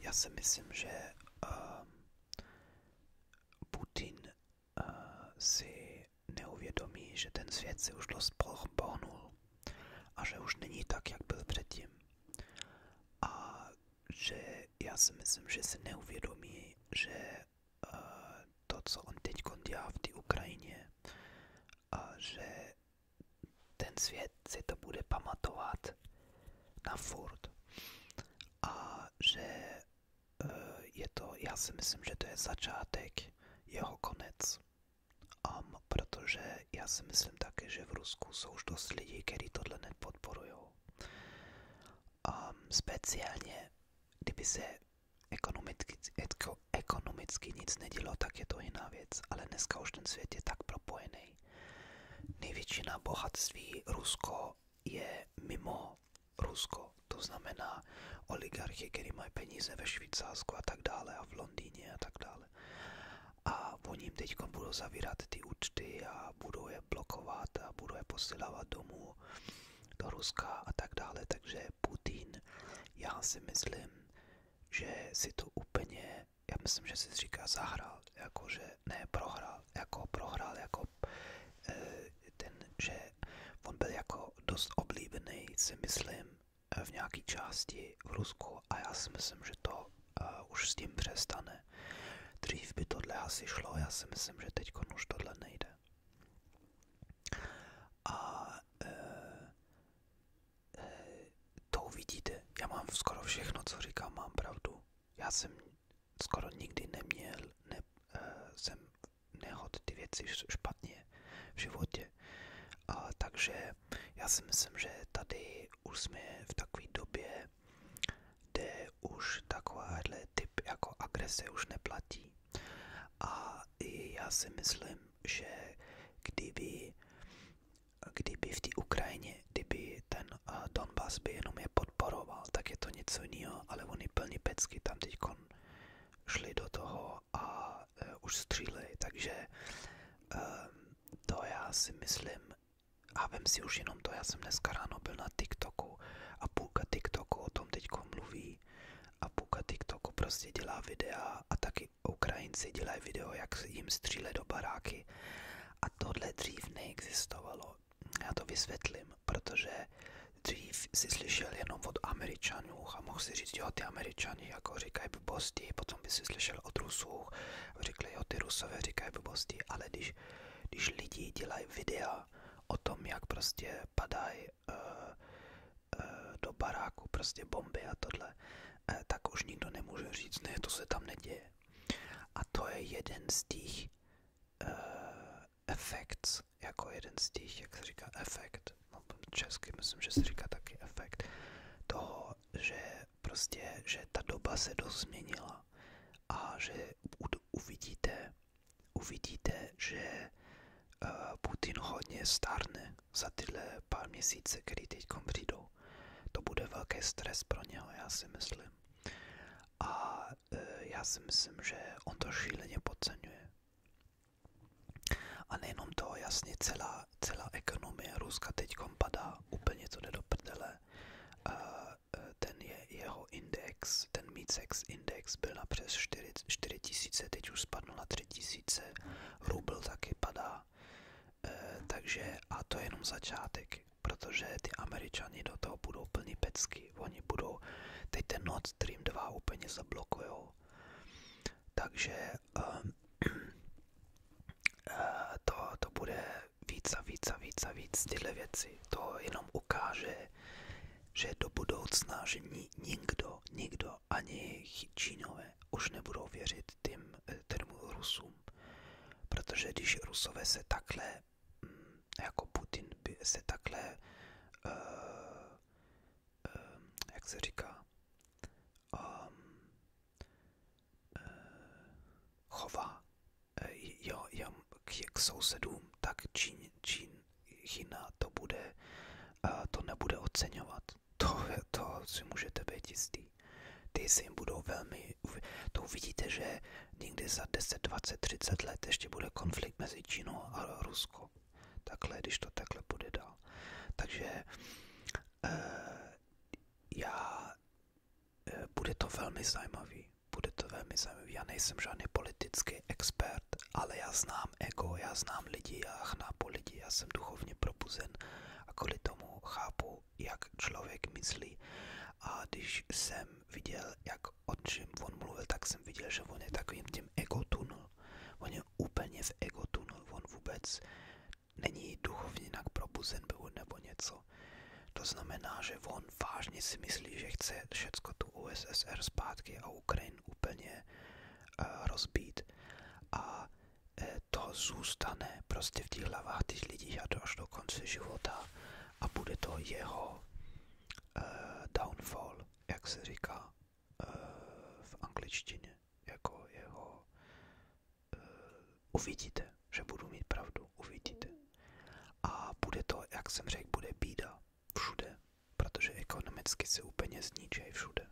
Ja myślę, że Putin uh, si neuvědomí, že ten svět już už dost pohnul a že už není tak, jak byl předtím. A že já si myslím, že si neuvědomí, že eh, to, co on teď dělá v té a że ten svět si to bude pamatovat na furt. A že e, je to, já si myslím, že to je začátek jeho konec. a protože já si myslím také, že v Rusku jsou už dost lidí, kteří tohle nepodporují. Um, speciálně, kdyby se ekonomicky, etko, ekonomicky nic nedělo, tak je to jiná věc. Ale dneska už ten svět je tak propojený, Největšina bohatství Rusko je mimo Rusko, to znamená oligarchy, které mají peníze ve Švýcarsku a tak dále a v Londýně a tak dále. A oni jim teď budou zavírat ty účty a budou je blokovat a budou je posílávat domů do Ruska a tak dále. Takže Putin, já si myslím, že si to úplně já myslím, že si říká zahrál, jako že ne prohrál, jako prohrál, jako eh, ten, že on byl jako dost oblíbený, si myslím, eh, v nějaké části v Rusku a já si myslím, že to uh, už s tím přestane. Dřív by tohle asi šlo, já si myslím, že teď už tohle nejde. A to uvidíte. Já mám skoro všechno, co říkám, mám pravdu. Já jsem skoro nikdy neměl, ne, eh, jsem nehod ty věci špatně v životě. A, takže já si myslím, že tady už jsme v takové době, kde už takovýhle typ jako agrese už neplatí. A i já si myslím, že kdyby kdyby v té Ukrajině, kdyby ten uh, Donbass by jenom je podporoval, tak je to něco jiného, ale oni plní pecky tam teď šli do toho a eh, už stříleli, takže eh, to já si myslím, a vem si už jenom to, já jsem dneska ráno byl na TikToku a půlka TikToku o tom teď mluví a půlka TikToku prostě dělá videa a taky Ukrajinci dělají video, jak jim stříle do baráky a a tohle dřív neexistovalo. Já to vysvětlím, protože dřív si slyšel jenom od Američanů a mohl si říct, jo, ty Američani jako říkají blbosti, potom by si slyšel od Rusů a řekli, jo, ty Rusové říkají blbosti, ale když, když lidi dělají videa o tom, jak prostě padají uh, uh, do baráku prostě bomby a tohle, uh, tak už nikdo nemůže říct, ne, to se tam neděje. A to je jeden z těch uh, eh, efekt, jako jeden z těch, jak se říká, efekt, no česky myslím, že se říká taky efekt, toho, že prostě, že ta doba se dost změnila a že uvidíte, uvidíte, že eh, Putin hodně stárne za tyhle pár měsíce, který teď přijdou. To bude velký stres pro něho, já si myslím. A e, já si myslím, že on to šíleně podceňuje. A nejenom to, jasně, celá, celá ekonomie Ruska teď padá, úplně to jde do prdele. E, ten je, jeho index, ten MICEX index byl na přes 4 4000, teď už spadl na 3000, rubl taky padá. Eh, takže a to je jenom začátek, protože ty američani do toho budou plní pecky, oni budou, teď ten Nord Stream 2 úplně zablokujou. Takže um, to, to bude víc a víc a víc a víc tyhle věci. To jenom ukáže, že do budoucna, že ni, nikdo, nikdo, ani Čínové už nebudou věřit tím, eh, tomu Rusu, Protože když Rusové se takhle, mm, jako Putin by se takhle, uh, uh, jak se říká, um, uh, chová jo, jo, k, k sousedům, tak Čín, Čín, Čína to bude, uh, to nebude oceňovat. To, to si můžete být jistý. Ty se jim budou velmi... To uvidíte, že někde za 10, 20, 30 let ještě bude konflikt mezi Čínou a Ruskou. Takhle, když to takhle bude dál. Takže eh, já... Eh, bude to velmi zajímavý. Bude to velmi zajímavý. Já nejsem žádný politický expert, ale já znám ego, já znám lidi, já chnápu lidi, já jsem duchovně probuzen a kvůli tomu chápu jak člověk myslí. A když jsem viděl, jak o čem on mluvil, tak jsem viděl, že on je takovým tím egotunul. On je úplně v egotunul, on vůbec není duchovně jinak probuzen byl nebo něco. To znamená, že on vážně si myslí, že chce všecko tu USSR zpátky a Ukrajin úplně uh, rozbít. A Eh, to zůstane prostě v těch hlavách těch lidí až do konce života a bude to jeho uh, downfall, jak se říká uh, v angličtině, jako jeho uh, uvidíte, že budu mít pravdu, uvidíte. A bude to, jak jsem řekl, bude bída všude, protože ekonomicky se úplně zničí všude.